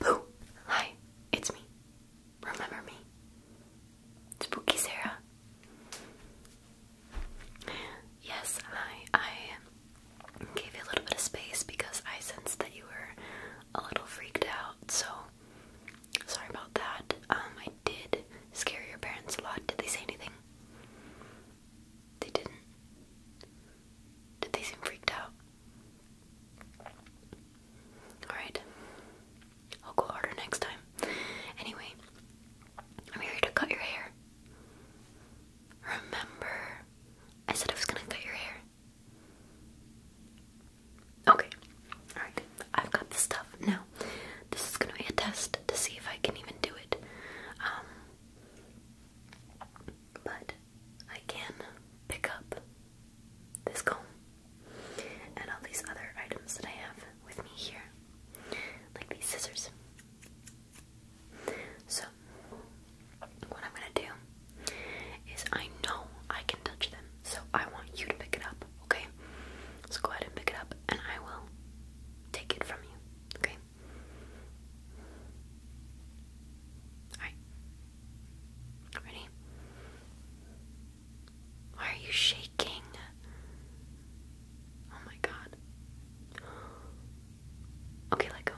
Boo! Hi, it's me. Remember me. It's Spooky Sarah. Yes, I I gave you a little bit of space because I sensed that you were a little freaked out, so sorry about that. Um I did scare your parents a lot. Did they say anything? They didn't. Did they seem freaked out? Alright. I'll go harder next time. Anyway, I'm here to cut your hair. Remember, I said I was gonna cut your hair. Okay, alright. I've got the stuff. Now, this is gonna be a test to see if I can even do it. Um, but I can pick up this comb and all these other items that I have with me here, like these scissors. So, what I'm gonna do is I know I can touch them, so I want you to pick it up, okay? So go ahead and pick it up, and I will take it from you, okay? Alright, Ready? Why are you shaking? Oh my god. Okay, let go.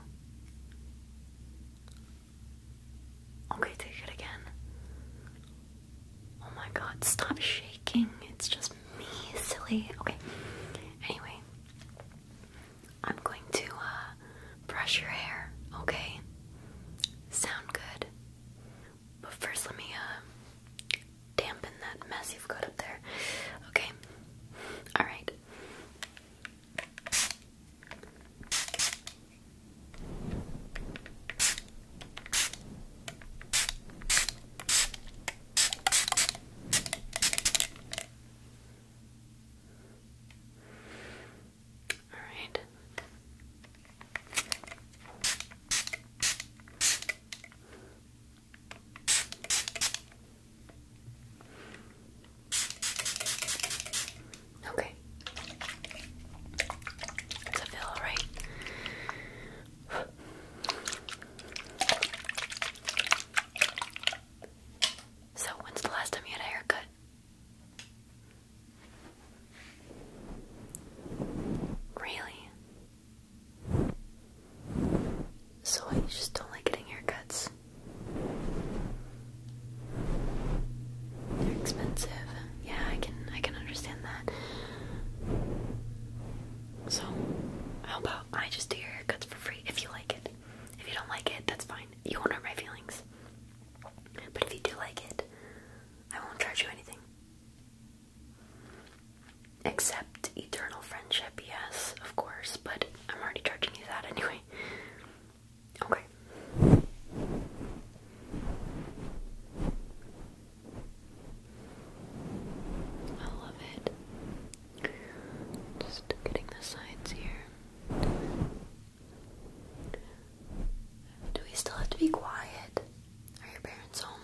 Okay, take it again. Oh my god, stop shaking. It's just me, silly. Okay. Anyway, I'm going to uh, brush your hair, okay? Sound good. But first, let me uh, dampen that mess you've got up there, okay? Alright. All right. Okay. Does it feel alright? So, when's the last time you had a haircut? Really? So, you just don't like getting haircuts? They're expensive. Yeah, I can I can understand that. So, how about I just do haircuts for free if you like it. If you don't like it, that's fine. You won't hurt my feelings. But if you do like it, I won't charge you anything. Except eternal friendship, yes, of course, but I'm already charging you that anyway. Okay. I love it. Just getting the sides here. Do we still have to be quiet? Are your parents home?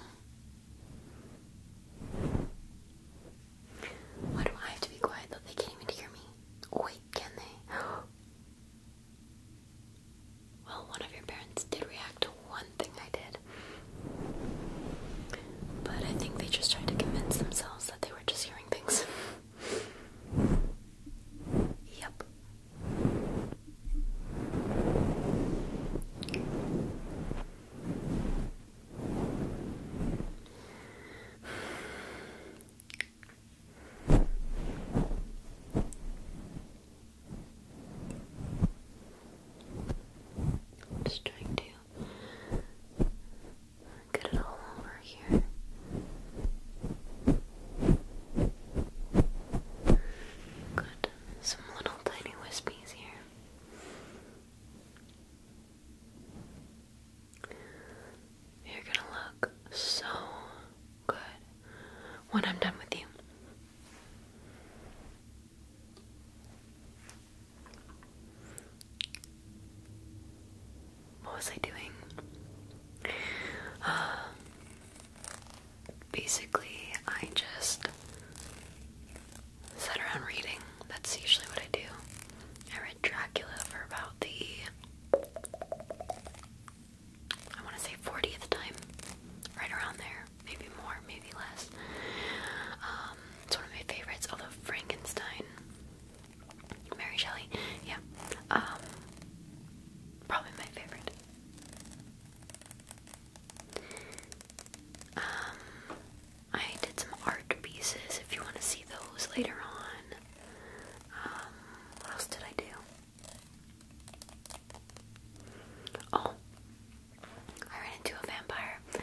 Why do I have to be quiet though? They can't even hear me. wait, can they? Well, one of your parents did react to one thing I did. But I think they just tried to convince themselves that they were just hearing things. Yep. just trying to Get it all over here. Good. Some little tiny wispies here. You're gonna look so good when I'm done with you. What was I doing? Uh, basically, I just sat around reading. That's usually what I do. I read Dracula for about the, I want to say 40th time, right around there. Maybe more, maybe less. Um, it's one of my favorites, although Frankenstein Mary Shelley, yeah. Um, probably my favorite. Um, I did some art pieces if you want to see those later on. Um, what else did I do? Oh, I ran into a vampire. The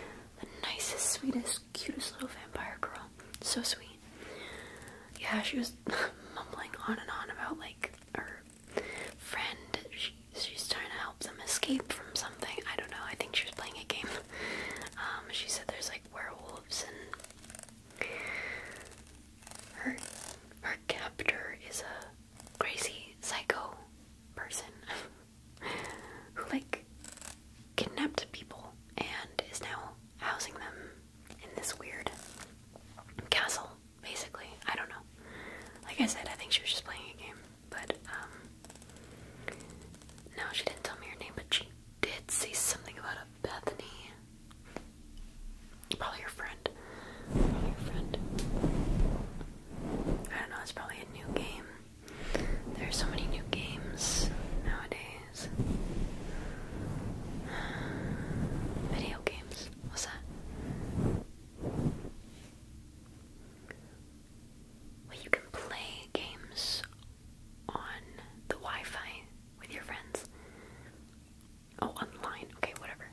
nicest, sweetest, cutest little vampire girl. So sweet. Yeah, she was mumbling on and on about like her friend. She, she's trying to help them escape from something. I don't know. I think she was playing a game. Um, she said there's like werewolves and her her captor is a crazy psycho person who like kidnapped people and is now housing them in this weird castle, basically. I don't know. Like I said, I think she was just playing a game, but um, no, she didn't tell me her name, but she did say something about a Bethany. Probably your friend. I don't know, it's probably a new game. There are so many new games nowadays. Video games. What's that? Well, you can play games on the Wi Fi with your friends. Oh, online. Okay, whatever.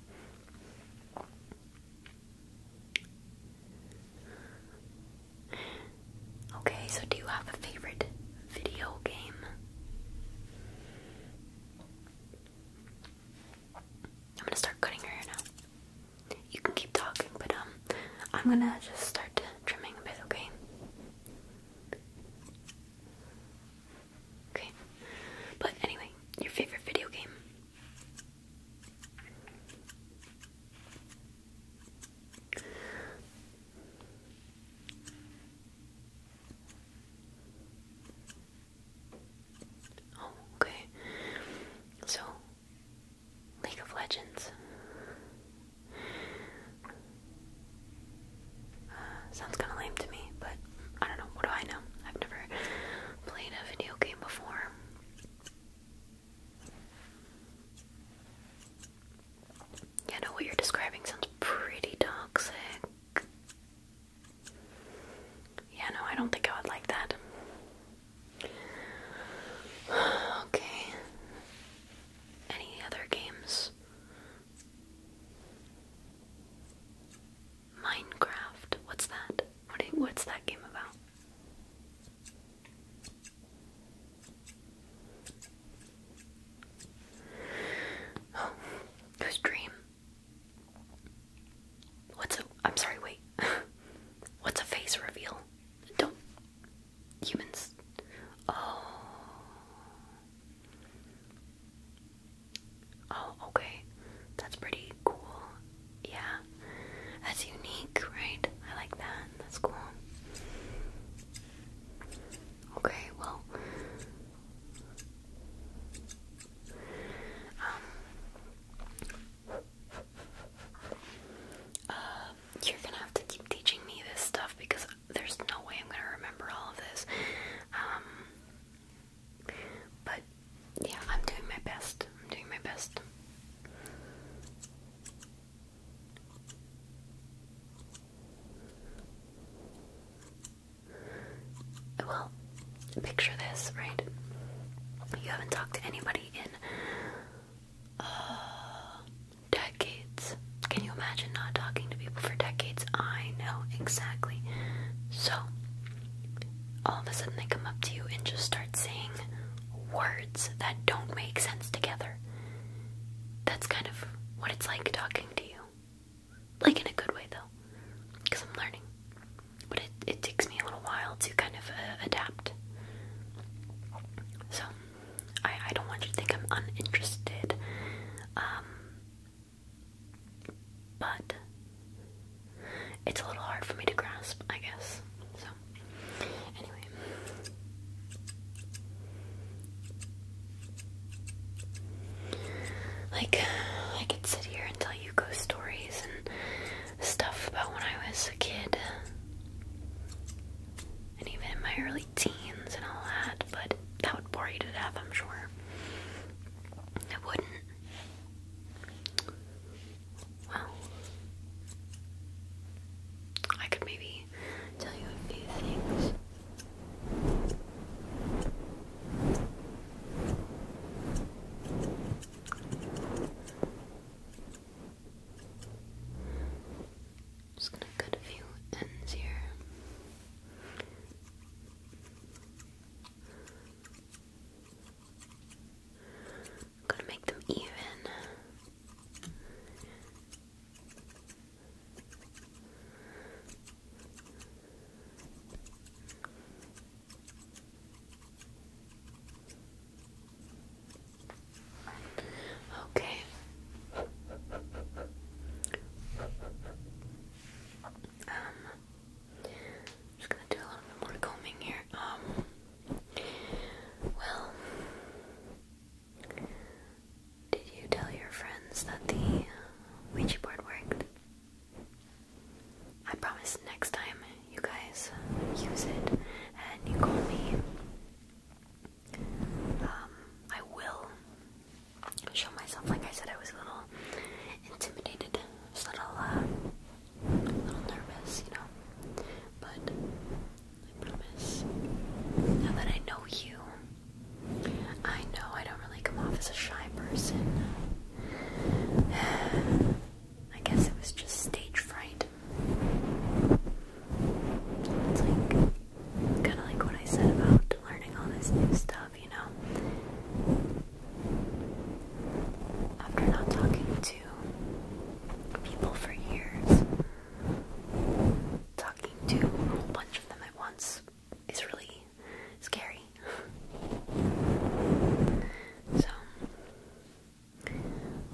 Okay, so do you have a favorite video game? I'm gonna start cutting her now. You can keep talking, but um, I'm gonna just start trimming a bit, okay? Okay. But anyway, your favorite video game? Oh, okay. So, League of Legends. Uh, sounds kind of lame to me, but I don't know. What do I know? I've never played a video game before. Yeah, know what you're describing sounds pretty toxic. Yeah, no, I don't think I would like that. Okay. Any other games? Minecraft. What's that? What what's that game about? Oh, it was dream. What's a I'm sorry, wait. What's a face reveal? Don't humans Oh Oh, okay. That's pretty cool. Yeah. That's unique, right? I like that. That's cool. Okay, well, um, uh, you're gonna have to keep teaching me this stuff because there's no way I'm gonna remember all of this. Um, but yeah, I'm doing my best. I'm doing my best. Well, picture this, right? You haven't talked to anybody in uh, decades. Can you imagine not talking to people for decades? I know, exactly. So, all of a sudden they come up to you and just start saying words that don't make sense together. That's kind of what it's like talking to you. Like in a good way though, because I'm learning. But it, it takes me a little while to kind of uh, adapt. So, I, I don't want you to think I'm uninterested. Um, but it's a little hard for me to grasp, I guess. So, Anyway. Like, I could sit here and tell you ghost stories and stuff about when I was a kid. And even in my early teens and all that, but that would bore you to death, I'm sure. It wouldn't. Well, I could maybe tell you a few things. Just gonna cut a few ends here. I'm gonna make them even. Okay. Um, just gonna do a little bit more combing here. Um, well, did you tell your friends that the uh, Ouija board worked? I promise next time you guys uh, use it and you call me, um, I will show myself. Like I said, I was a little intimidated, so little uh, a little nervous, you know. But I promise, now that I know you, I know I don't really come off as a shy person. I guess it was just stage fright. It's like. Kind of like what I said about learning all this new stuff, you know? After not talking to people for years. Talking to a whole bunch of them at once is really scary. so,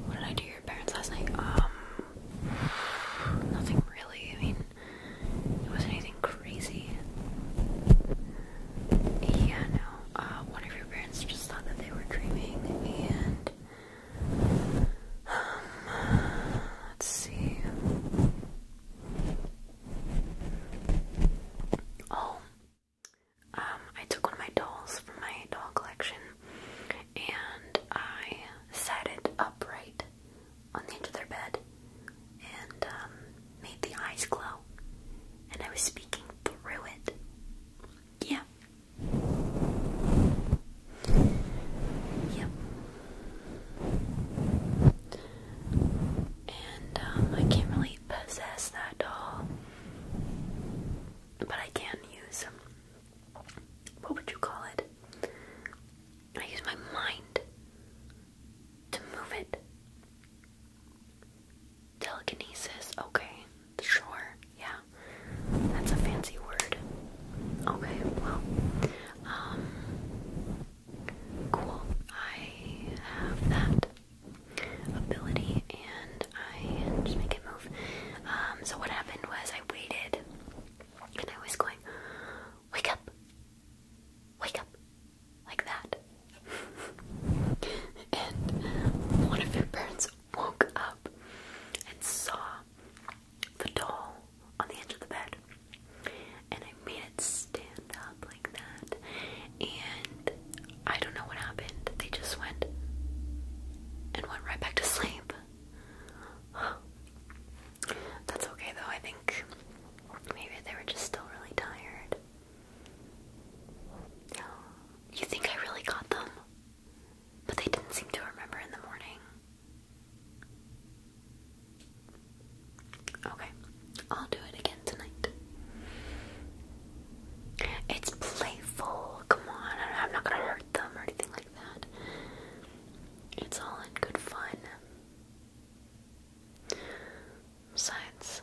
what did I do your parents last night? Um, nothing really. I mean, it wasn't anything crazy. Yeah, no. Uh, one of your parents just thought that they were dreaming and let's see. Oh, um, I took one of my dolls from my doll collection and I sat it upright on the edge of their bed and um, made the eyes glow. And I was speaking through it. Yeah, Yep. And um, I can't really possess that doll, but I can use um, what would you call it? I use my mind to move it. Telekinesis, okay. Sure, yeah. That's a fancy word. Okay, well, um, cool. I have that ability and I just make it move. Um, so what happened was I waited and I was going, wake up, wake up, like that. and one of your parents woke up and saw the doll on the edge of the bed. And I made it stand up like that. And I don't know what happened. They just went and went right back to sleep. That's okay though. I think maybe they were just still really tired. You think I really got them? But they didn't seem to remember in the morning. Okay, I'll do it again tonight. It's playful. Come on, I'm not gonna hurt them or anything like that. It's all in good fun. Besides,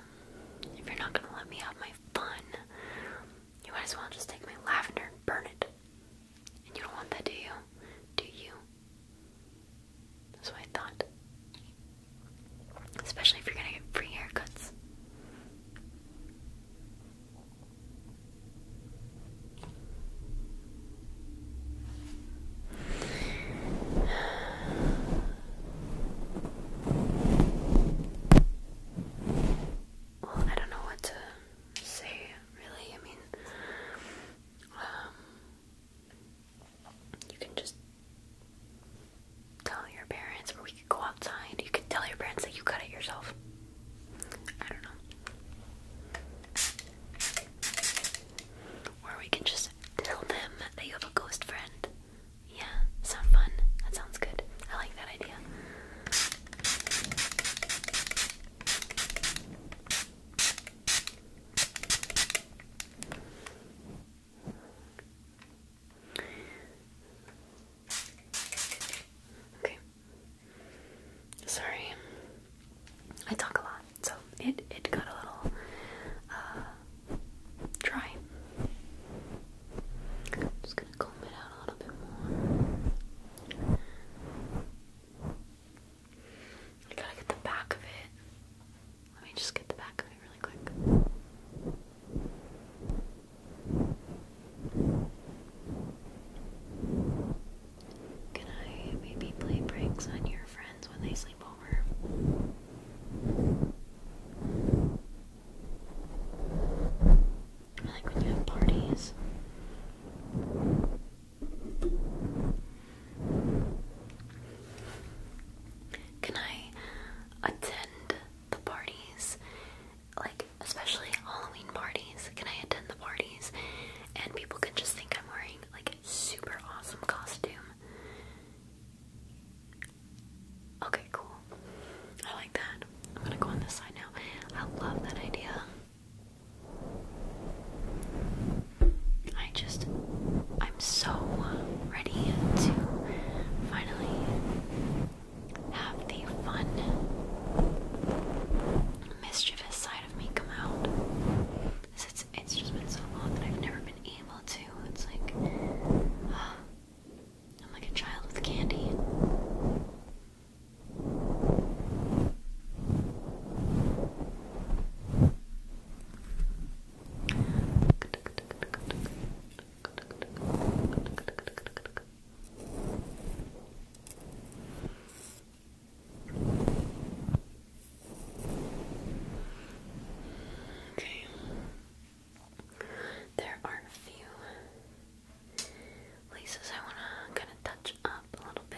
if you're not gonna let me have my fun, you might as well just take my lavender and burn it. And you don't want that, do you? Do you? That's what I thought. Especially if you're gonna get free haircuts. I don't know what to say really. I mean, um, you can just tell your parents, or we could go outside. You could tell your parents that you cut it yourself. I don't know. Or we can just tell them that you have a ghost friend yeah, sound fun. That sounds good. I like that idea. Okay. Sorry. I talk a lot, so it it got a little uh dry. Just going to it out a little bit more. I gotta get the back of it. Let me just get the back of it really quick. Can I maybe play pranks on your friends when they sleep over? I like when you have parties. Can I attend the parties? Like, especially Halloween parties. Can I attend the parties? And people can just think I'm wearing like super awesome costume. Okay, cool. I like that. I'm gonna go on this side now. I love that idea. I just, I'm so ready to finally have the fun, mischievous side of me come out. It's, it's just been so long that I've never been able to. It's like, I'm like a child with candy. Okay. There are a few places I want to kind of touch up a little bit.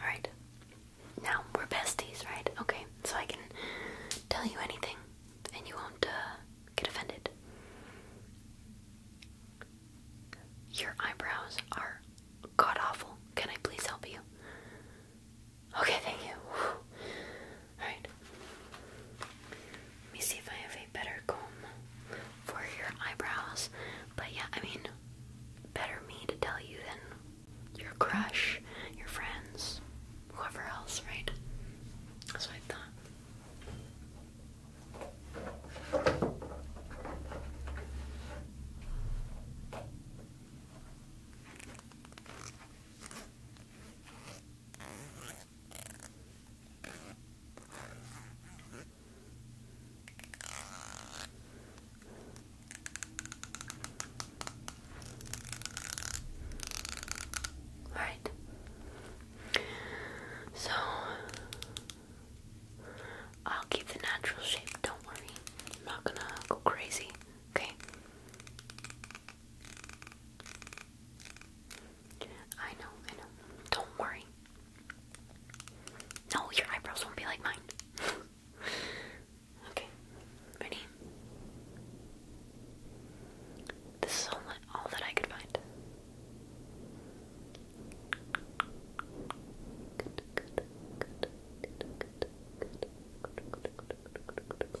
Alright. Now, we're besties, right? Okay, so I can tell you anything and you won't uh, get offended. Your eyebrows are god awful. Can I please help you? Okay, thank you. Alright. Let me see if I have a better comb for your eyebrows. But yeah, I mean, better me to tell you than your crush, your friends, whoever else, right? That's I thought. Alright. So I'll keep the natural shape, don't worry. I'm not gonna go crazy, okay? I know, I know. Don't worry. No, your eyebrows won't be like mine. okay, ready? This is all, that I could find. Good, good, good, good, good, good, good, good, good, good, good, good, good,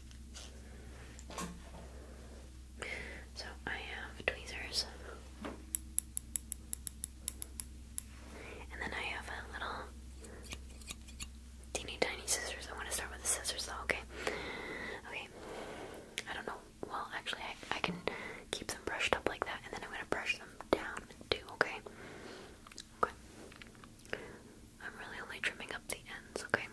So I have tweezers. And then I have a little teeny tiny scissors. I want to start with the scissors though, okay? Okay. I don't know. Well, actually, I, I can keep them brushed up like that, and then I'm going to brush them down too, okay? Okay. I'm really only trimming up the ends, okay?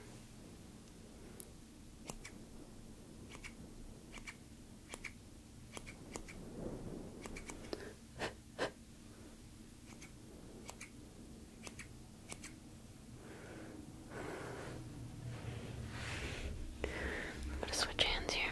I'm gonna switch hands here.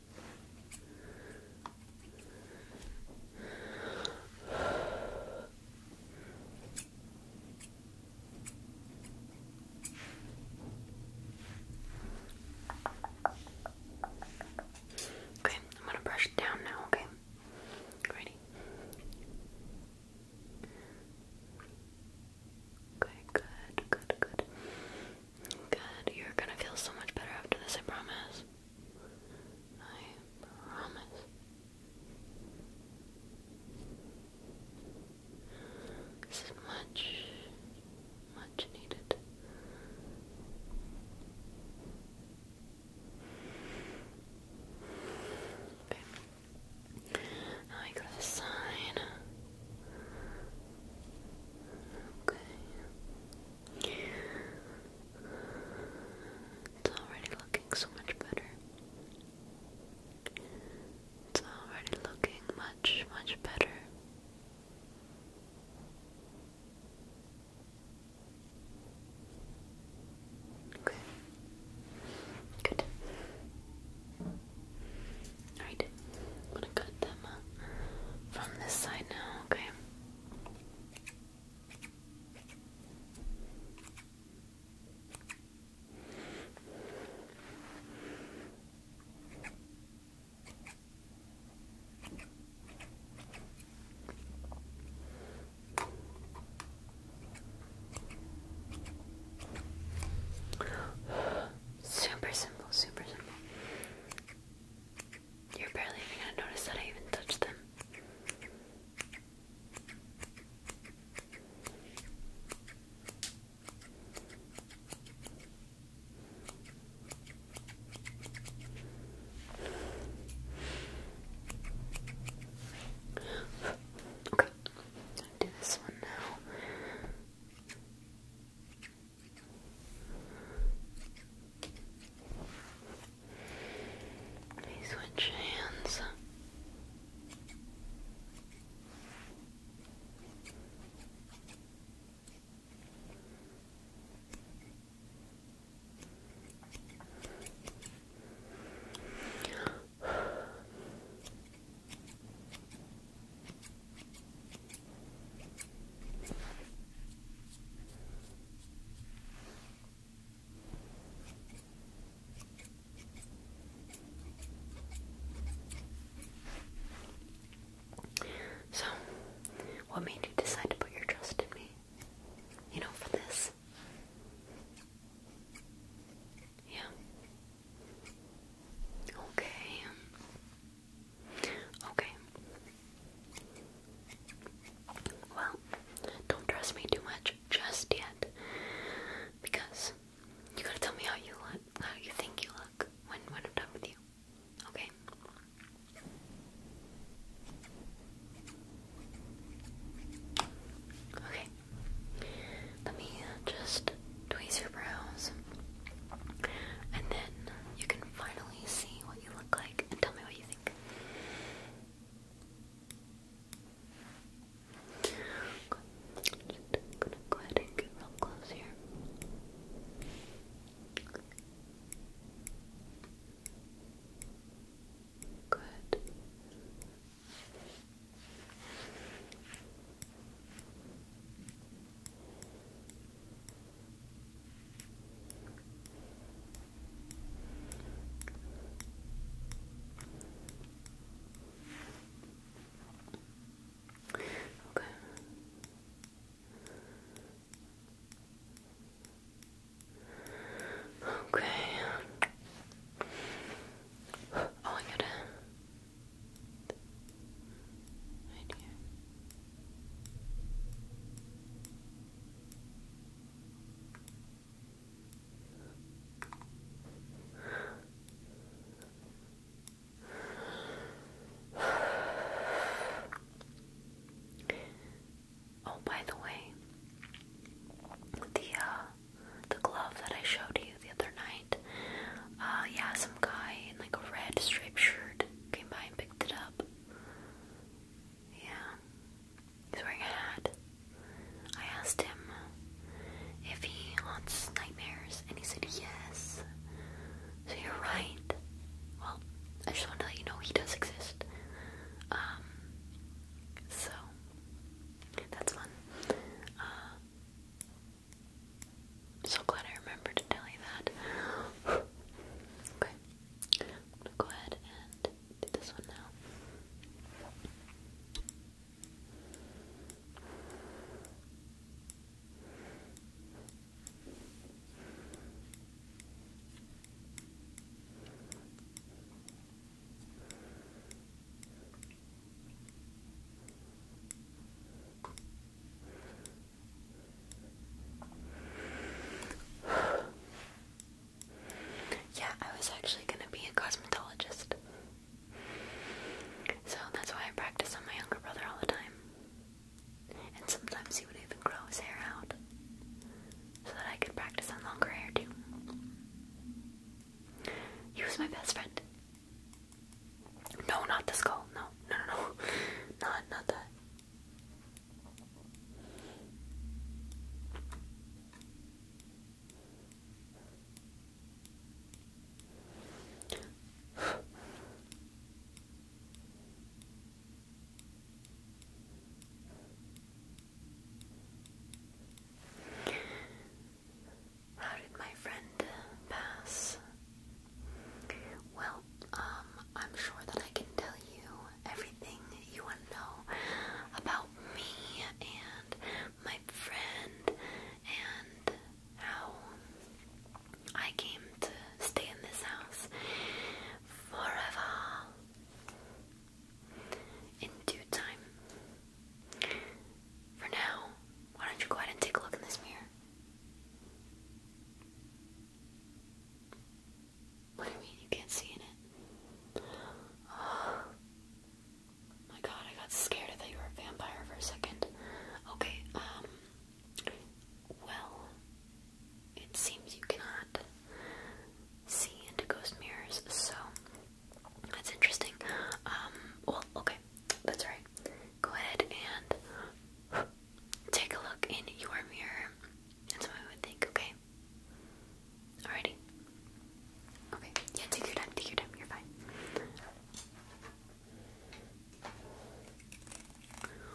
Okay, I'm gonna brush it down now, okay? Ready? Okay, good, good, good. Good. You're gonna feel so much better after this, I promise. I promise. This is much, much needed. Okay. Now I go to the side. Okay. It's already looking so much better. It's already looking much, much better. Okay. Good. Alright. I'm gonna cut them uh, from this side now, okay? Super simple, super simple. You're barely even gonna notice that I even touched them. Okay, do this one now. Let switch hands. So, what made you decide to put your trust in me? You know, for this? Yeah. Okay. Okay. Well, don't trust me too much just yet, because you gotta tell me how you look, how you think you look when when I'm done with you. Okay. Okay. Let me uh, just tweeze your brows, and then you can finally see what you look like and tell me what you think. Just gonna go ahead and get real close here. Good. Okay. Okay. Oh, I gotta. Oh, by the way, the uh, the glove that I showed you the other night, uh, yeah, some guy in like a red striped shirt came by and picked picked it up. Yeah. He's wearing a hat. I asked him if he haunts nightmares, and he said yes. So you're right. Well, I just want to let you know he does exist. Um, so that's fun. Uh, I'm so glad I remembered to tell you that. okay. I'm gonna go ahead and do this one now yeah, I was actually gonna be a cosmetologist. So that's why I practice on my younger brother all the time. And sometimes he would even grow his hair out so that I could practice on longer hair too. He was my best friend. No, not the skull. No, no, no, no. Not, not that. How did my friend pass? Well, um, I'm sure that I can tell you everything you want to know about me and my friend and how I came to stay in this house forever in due time. For now, why don't you go ahead and take a look in this mirror? What do you mean you can't see in it? Oh. My god, I got scared that you were a vampire for a second. Okay, um. Well, it seems you cannot see into ghost mirrors, so that's interesting. Um, well, okay, that's right go ahead and take a look in your mirror. That's what I would think, okay? Alrighty. Okay, yeah, take your time, take your time, you're fine.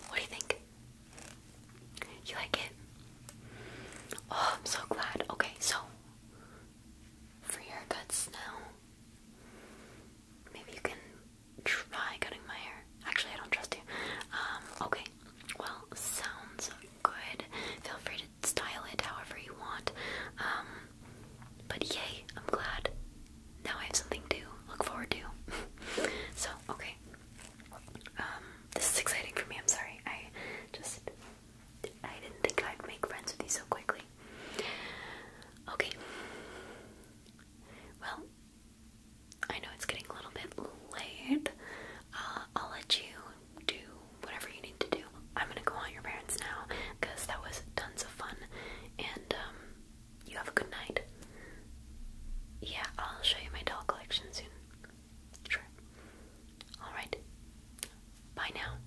What do you think? You like it? Oh, I'm so glad. Okay, so for your guts now, Maybe you can try cutting my hair. Actually, I don't trust you. Um, okay. Well, sounds good. Feel free to style it however you want. Um, but yay, I'm glad. Now I have something to look forward to. so, okay. Um, this is exciting for me. I'm sorry. I just I didn't think I'd make friends with you so quickly. Okay. Well, I know it's getting a little bit late. Uh, I'll let you do whatever you need to do. I'm gonna go on your parents now that was tons of fun, and um, you have a good night. Yeah, I'll show you my doll collection soon. Sure. Alright. Bye now.